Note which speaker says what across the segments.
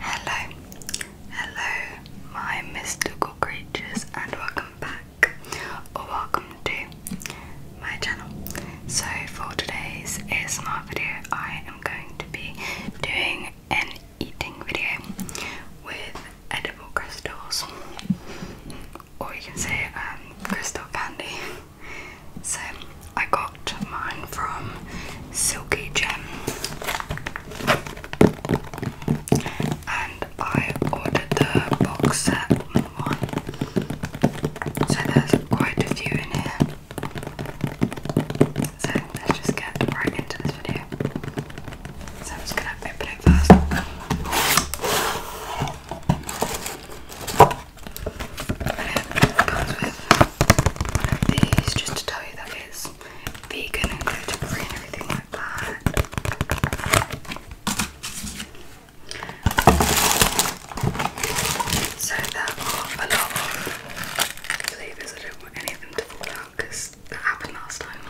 Speaker 1: Hello, hello, my mystical creatures, and welcome back or welcome to my channel. So, for today's ASMR video, I am going to be doing an eating video with edible crystals, or you can say um, crystal candy. So, I got mine from Silky Gem and I ordered the box set one. So there's quite a few in here. So let's just get right into this video. So I'm just gonna open it first. And it these just to tell you that it's vegan and gluten free and everything like that. So there are a lot of flavours. I don't want any of them to fall out because that happened last time.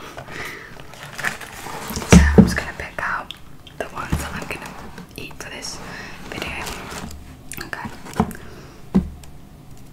Speaker 1: So I'm just gonna pick out the ones that I'm gonna eat for this video. Okay.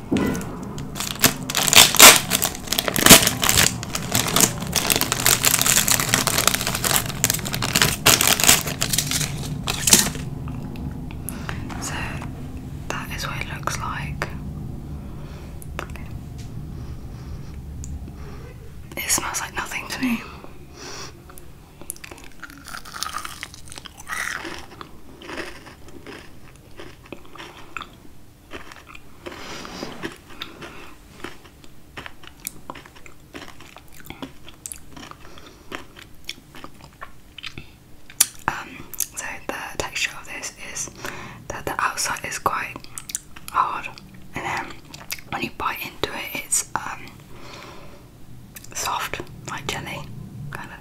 Speaker 1: So that is what it looks like. It smells like nothing to me. Um, so the texture of this is that the outside is quite hard, and then when you bite into it, it's um, soft like jelly, kind of.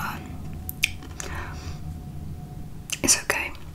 Speaker 1: Um, it's okay.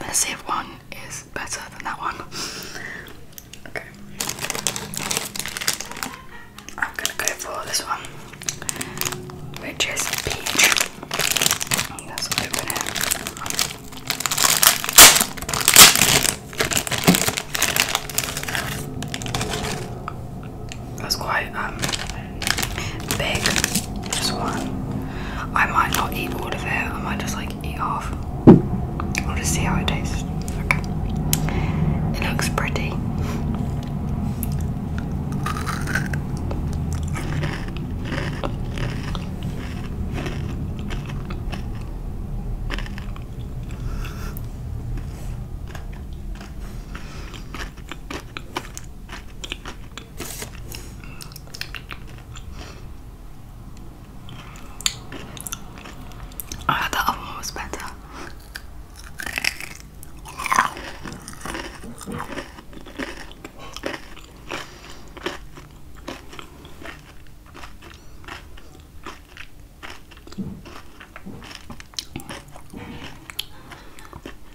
Speaker 1: Let's see if one is better than that one. Okay. I'm gonna go for this one, which is peach. And let's open it. That's quite um big, just one. I might not eat all of it, I might just like eat half. I'll just see how it tastes. It looks pretty. Oh, the other one was better.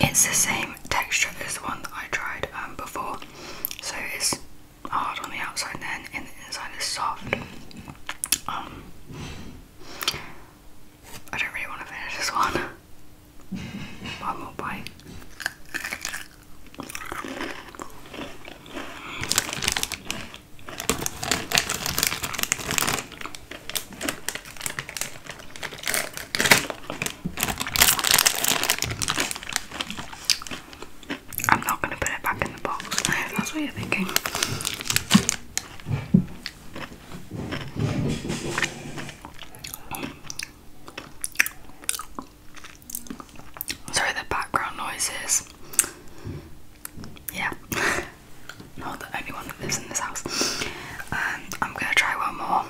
Speaker 1: It's the same texture as the one that I tried um, before, so it's hard on the outside, and then and the inside is soft. Um, I don't really want to finish this one. One more bite. I'm not going to put it back in the box, that's what you're thinking. Sorry, the background noises. Yeah. not the only one that lives in this house. Um, I'm gonna try one more.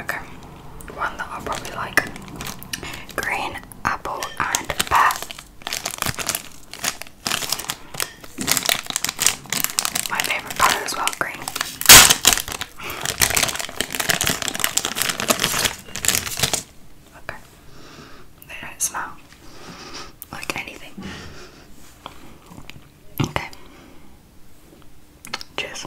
Speaker 1: Okay, one that I'll probably like. Green, apple, and pear. My favourite colour as well, green. Okay. They don't smell like anything. Okay. Cheers.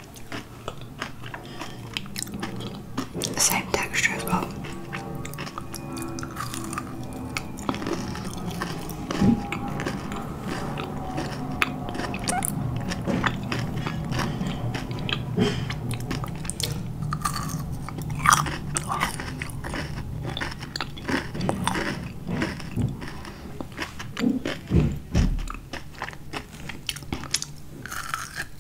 Speaker 1: Same texture as well.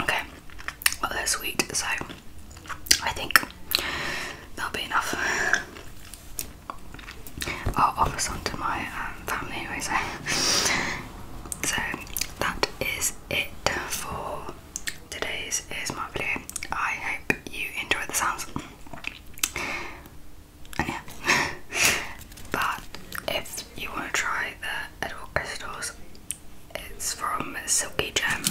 Speaker 1: Okay, well they're sweet, so I think that'll be enough. I'll offer some to my um, family anyway, so. so that is it for today's is my video. I hope you enjoyed the sounds. And yeah, but if you want to try the Edward Stores. It's from Silky Gem.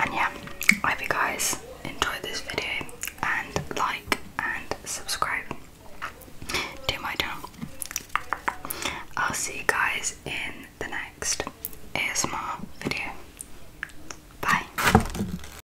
Speaker 1: And yeah, I hope you guys enjoyed this video and like and subscribe to my channel. I'll see you guys in the next ASMR video. Bye.